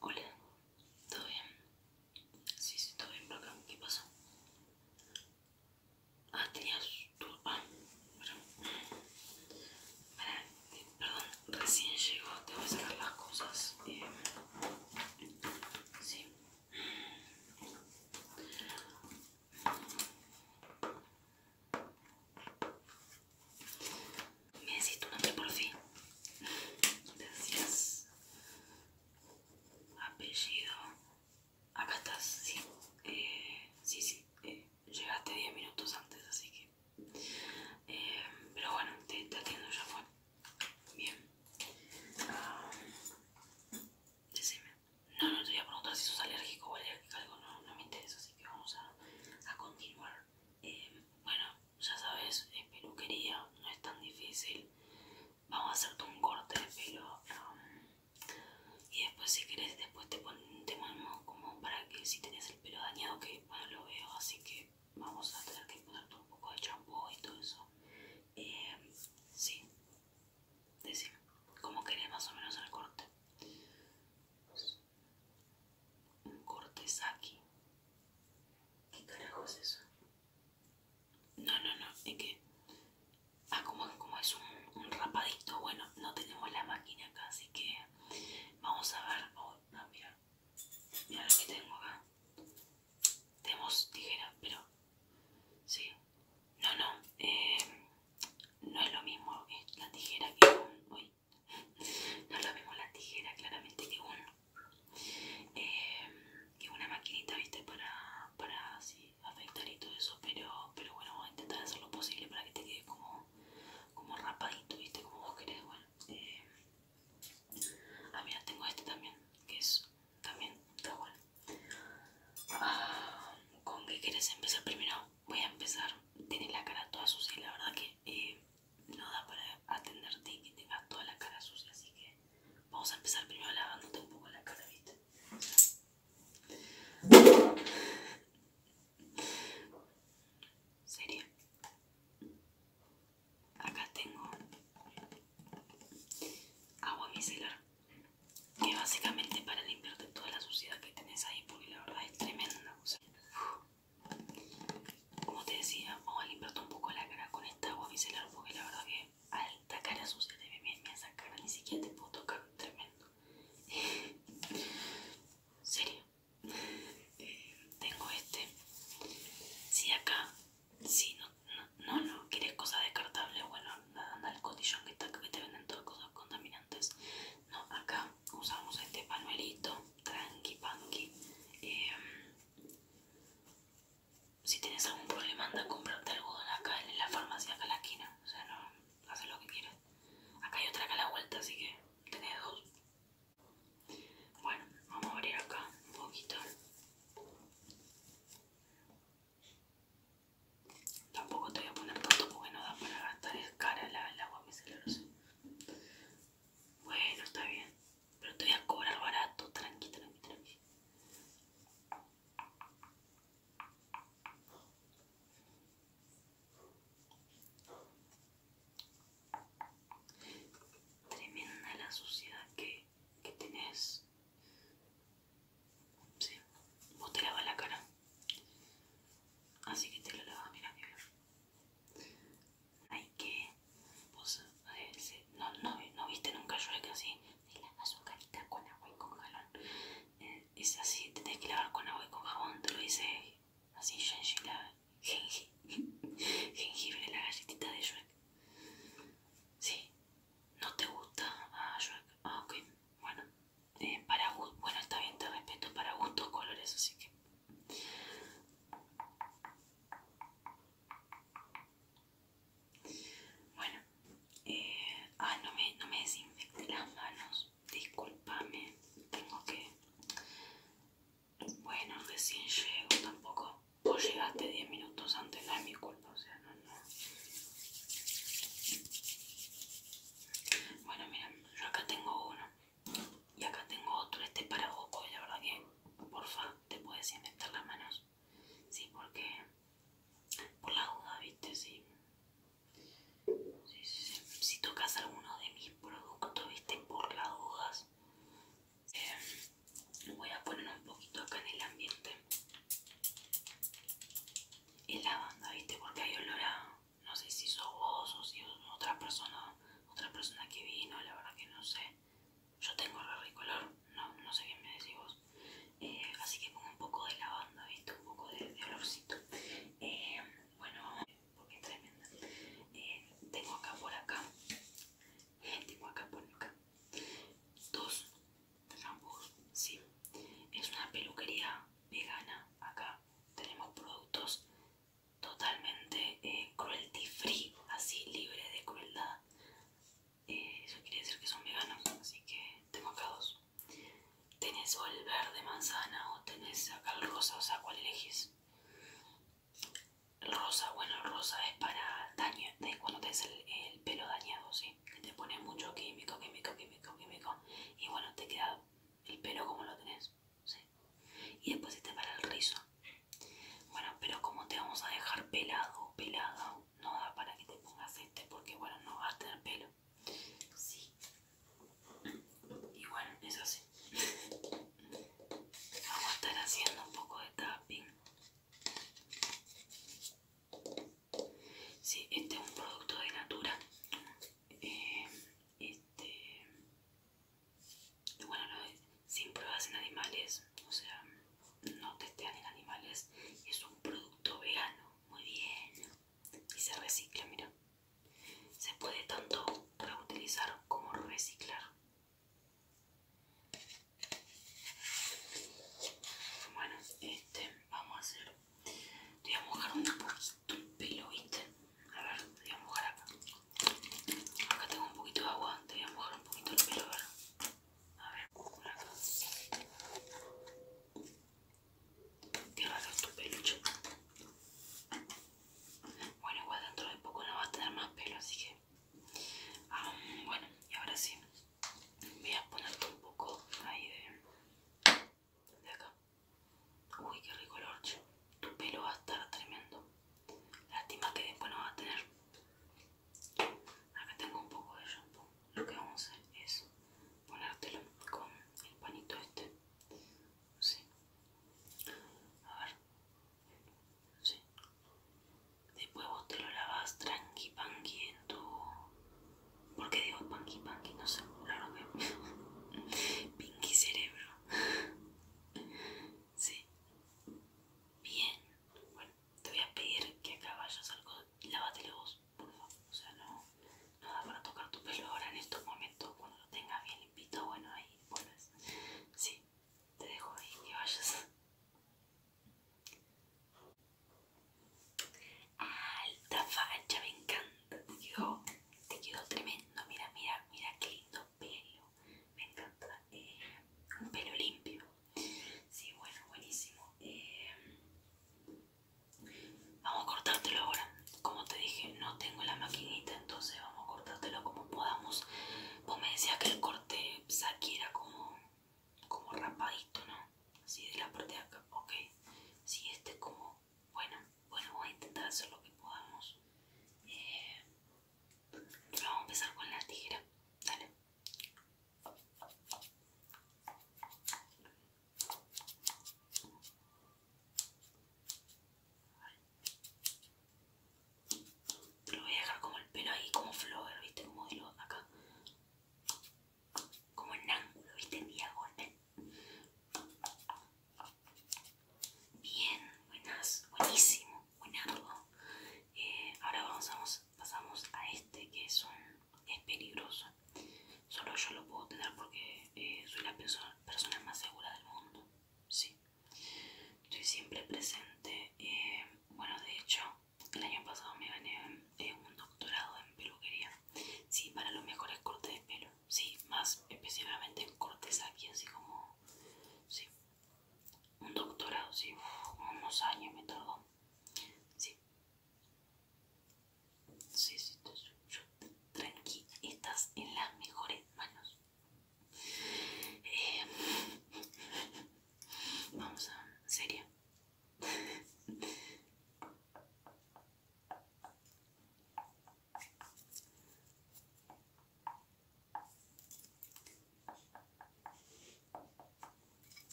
Hola, ¿todo bien? Sí, sí, todo bien por ¿Qué pasó? Ah, tenías tu... Ah, eh, perdón. recién llegó. Tengo que sacar las cosas. Eh, sí, me decís tu nombre por fin. Decías Apellido. Acá estás, sí. Eh, sí, sí. Eh, llegaste diez minutos antes, así que. Eh, pero bueno, te, atiendo ya, fue. Bien. Decime. No, no te voy a preguntar si sos alérgico o alérgico, algo, no, me interesa, así que vamos a, continuar. Eh, bueno, ya sabes, es eh, peluquería, no es tan difícil. Vamos a hacerte un corte de pelo. y después si querés, después te, pon, ponemos como para que si tenés el pelo dañado, que bueno lo veo, así que vamos a tener que ponerte un poco de champú y todo eso. Eh, sí, decime, ¿cómo querés más o menos el corte? Pues, un corte saki. ¿Qué carajo es eso? No, no, no, es que... Ah, como, es un, rapadito, bueno, no tenemos la máquina acá, así que vamos a ver... Oh, ah, mira, mira lo que tengo acá. Tenemos tijera, pero Sí. No, no. Em, no es lo mismo la tijera que un... No es lo mismo la tijera claramente que un... Em, que una maquinita, viste, para, para así afeitar y todo eso. Pero, pero bueno, voy a intentar hacer lo posible para que te quede como, como rapadito, viste, como vos querés. Bueno, em, ah, mira, tengo este también, que es también está bueno. Ah, con qué quieres empezar primero voy a empezar tienes la cara toda sucia la verdad que eh, no da para atenderte y que tenga toda la cara sucia así que vamos a empezar primero lavándote un poco la cara viste Seria acá tengo agua micelar que básicamente para limpiarte toda la suciedad que tenés ahí porque la verdad es tremenda como te decía vamos a limpiar un poco la cara con esta agua micelar porque la verdad que alta cara sucia te me, me esa ni siquiera te puedo tocar tremendo serio tengo este si acá si no, no, no, quieres cosas descartables, bueno, anda al cotillón que te venden todas cosas contaminantes. No, acá usamos este panuelito, tranqui, panqui. Em, si tienes algún problema, anda a comprarte algodón acá en la farmacia, acá la esquina. O sea, no, haces lo que quieras. Acá hay otra acá la vuelta, así que tenés dos. Bueno, vamos a abrir acá un poquito. Tampoco te voy a poner tanto porque no da para gastar, es cara el agua micelar. Bueno, está bien, pero te voy a cobrar barato, tranqui, tranqui, tranqui. Tremenda la suciedad que que tenés. Sí, vos te lavas la cara. Así que te lo lavas, mira, mira. Ay, que vos eh, no, no, no viste nunca yo que así te lava su carita con agua y con jabón eh, es así, te tenés que lavar con agua y con jabón, te lo dice así Genji la, Genji, viene la galletita de Shrek. Sí. ¿No te gusta ah, ah ok. Bueno. Eh, bueno, está bien, te respeto. Para gustos colores, así que... Bueno. Eh, ah, no me, no me desinfecté las manos. Disculpame. Tengo que... Bueno, recién llego, tampoco. Vos llegaste 10 minutos antes, no es mi culpa, o sea, no, no. Bueno, miren, yo acá tengo uno y acá tengo otro. Este para ojos la verdad que, porfa, te puedes inventar las manos. Sí, porque por la duda, viste, sí. Si, si, si tocas alguno de mis productos, viste, por las dudas, Em, voy a poner un poquito acá en el ambiente en lavanda viste porque hay olor a no sé si sos vos o si otra persona otra persona que vino la verdad que no sé yo tengo re color no, no sé qué me decís vos eh, así que pongo un poco de lavanda viste un poco de, olorcito em, bueno porque es tremenda eh, tengo acá por acá tengo acá, ponlo acá. Dos ambos, sí. Es una peluquería vegana. Acá tenemos productos totalmente eh, cruelty free, así libre de crueldad. Eh, eso quiere decir que son veganos, así que tengo acá dos. Tenés o el verde manzana o tenés acá el rosa, o sea, ¿cuál elegís? Rosa, bueno, rosa es para daño, cuando te el, pelo dañado, ¿sí? Que te pones mucho químico, químico, químico, químico. Y bueno, te queda el pelo como lo tenés, ¿sí? Y después este para el rizo. Bueno, pero como te vamos a dejar pelado, pelado, no da para que te pongas este porque, bueno, no vas a tener pelo. Sí. Y bueno, es así. Vamos a estar haciendo un poco de tapping. Sí, este es un producto de Natura. Eh, este, bueno, sin pruebas en animales, o sea, no testean en animales. Es un producto vegano, muy bien. Y se recicla, mira. Se puede tanto reutilizar como reciclar. Bueno, este, vamos a hacer. Te voy a mojar un poquito, Tu pelo, ¿viste? A ver, te voy a mojar acá. Acá tengo un poquito de agua, te voy a mojar un poquito el pelo, a ver. A ver, por acá. Qué tu pelo, bueno, igual dentro de poco no va a tener más pelo, así que... Ah, bueno, y ahora sí, voy a ponerte un poco ahí de, acá. Uy, qué rico el Tu pelo va a estar tremendo. Lástima que después no va a tener. Acá tengo un poco de shampoo. Lo que vamos a hacer es ponértelo con el panito este. Sí. A ver. Después vos te lo lavas tranqui panqui en tu. ¿Por qué digo panqui panqui? No sé, claro que. Pinky cerebro. Sí. Bien. Bueno, te voy a pedir que acá vayas algo. Lávatelo vos, por favor. O sea, no, nada para tocar tu pelo ahora en estos momentos. Cuando lo tengas bien limpito, bueno, ahí Sí, te dejo ahí que vayas. Alta facha, me encanta. Te quedó, te quedó tremendo. Mira, mira, mira qué lindo pelo. Me encanta. Eh, un pelo limpio. Sí, bueno, buenísimo. Eh, vamos a cortártelo ahora como te dije, no tengo la maquinita, entonces vamos a cortártelo como podamos. Vos me decías que el corte aquí como, como rapadito, ¿no? Así de la parte de acá, ok. Si este como, bueno, bueno, voy a intentar hacer lo que podamos. Eh, vamos a empezar con la tijera, dale lo voy a dejar como el pelo ahí, como flower, ¿viste? Como hilo acá. Como en ángulo, ¿viste? En diagonal. Bien, buenas, buenísimo, buen eh, ahora pasamos a este que es, es peligroso. Solo yo lo puedo tener porque eh, soy la persona más segura del mundo sí estoy siempre presente eh, bueno de hecho el año pasado me gané eh, un doctorado en peluquería sí para los mejores cortes de pelo sí más específicamente en cortes aquí así como sí un doctorado sí unos años me tardó sí sí sí tranqui estás en las mejores manos eh, vamos a... seria.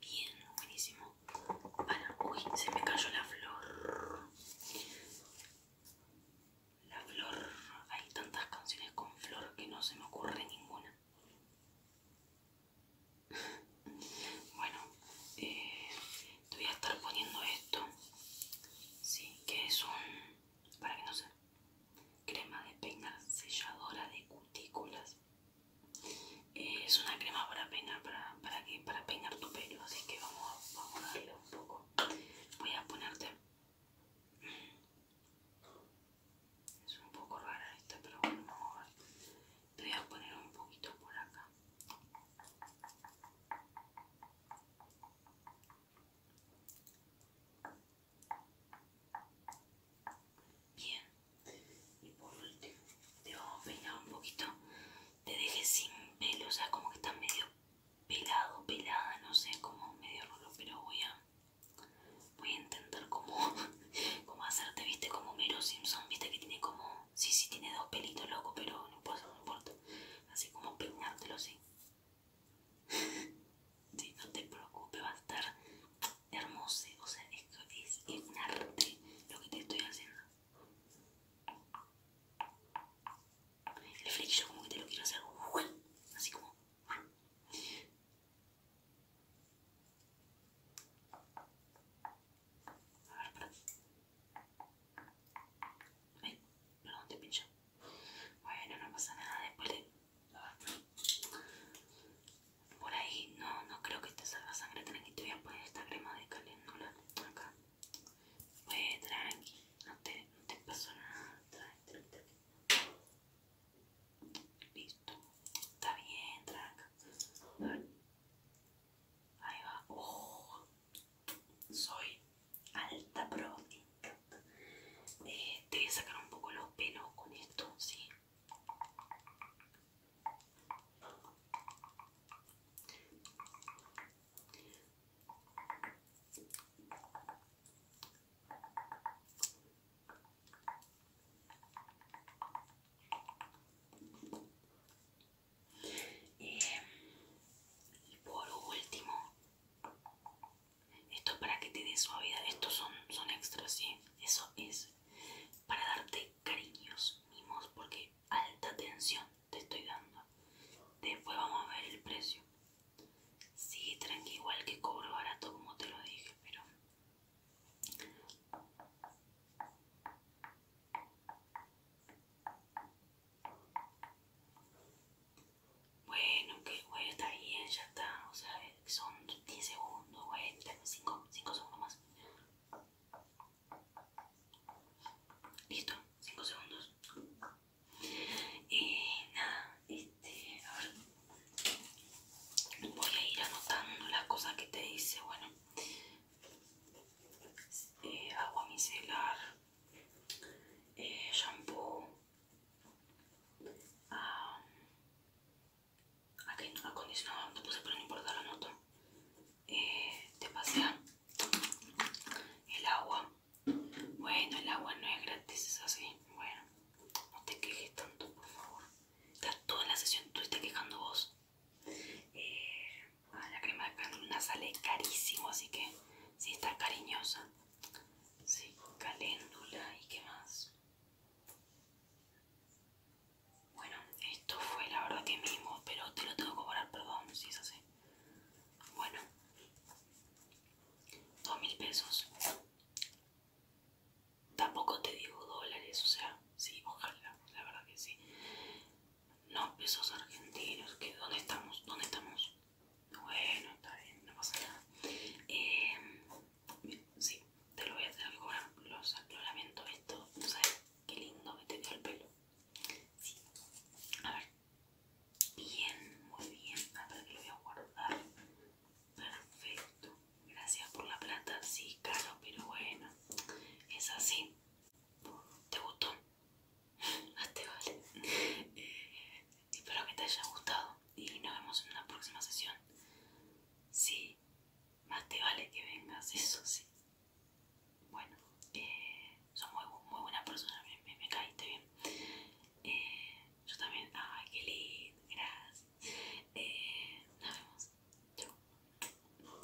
Bien, buenísimo. uy, se me cayó la flor. La flor. Hay tantas canciones con flor que no se me ocurre ninguna. Bueno, eh, te voy a estar poniendo esto. Sí, que es un. para que no se. crema de peinar selladora de cutículas. Eh, es una crema para peinar, para, que, para peinar tu pelo, así que vamos, a darle un poco. Voy a ponerte... Es un poco rara esta, pero bueno, Te voy a poner un poquito por acá. Bien, y por último te vamos a peinar un poquito te dejé sin pelo o sea como que está medio pelado pelada no sé como medio rolo pero voy a voy a intentar como como hacerte viste como Mero Simpson viste que tiene como sí sí tiene dos pelitos loco pero no importa no importa así como peinártelo así sí, no te preocupes va a estar hermoso, o sea, esto es un arte lo que te estoy haciendo. El flick yo como que te lo quiero hacer, así como... A ver, perdón. Perdón, te pincho. Bueno, no pasa nada después de... A por ahí, no, no creo que te salga sangre, tranqui, te voy a poner esta crema de caléndula acá. Pues tranqui, no te, pasó nada, tranqui, tranqui. Listo, está bien, tranqui. Ahí va, oh, soy alta pro, eh, te voy a sacar un poco los pelos con esto, sí. Eh, y por último, esto para que te dé suavidad. Estos son, son extras, ¿sí? Eso es para darte cariños, mimos, porque alta tensión te estoy dando. Después vamos a ver el precio. Sí, tranqui, igual que cobro barato como te lo dije, pero... Bueno, que bueno, está bien, ya está, o sea, son 10 segundos, güey. 5, segundos más. Listo, 5 segundos. Y eh, nada, este, a ver. Voy a ir anotando las cosas que te dice. Bueno, eh, agua micelar, eh, shampoo. ah Aquí no un no puse, pero no importa, lo noto. Eh, te pasé. el agua. Bueno, el agua no es gratis, es así. Bueno, no te quejes tanto, por favor. Estás toda la sesión, tú estás quejando vos. Eh, la crema de cánula sale carísimo, así que sí está cariñosa. Sí, caléndula y qué más. Bueno, esto fue la verdad que mismo, pero te lo tengo que cobrar, perdón, si es así. Bueno, dos mil pesos. Tampoco te digo dólares, o sea, sí, ojalá, la verdad que sí. No, pesos argentinos, que ¿dónde estamos? ¿Dónde estamos? Bueno, está bien, no pasa nada. Eh, Sí, te lo voy a hacer con Los, lo lamento, esto. sabes qué lindo que te dio el pelo? Sí. A ver. Bien, muy bien. A ver, que lo voy a guardar. Perfecto. Gracias por la plata. Sí, caro, pero bueno. Es así. ¿Te gustó? hasta vale. espero que te haya gustado y nos vemos en una próxima sesión. Sí, más te vale que vengas, eso sí. Bueno, eh, Son muy, buenas personas me, caíste bien. Eh, yo también, ay, qué lindo, gracias. Eh, nos vemos, chau.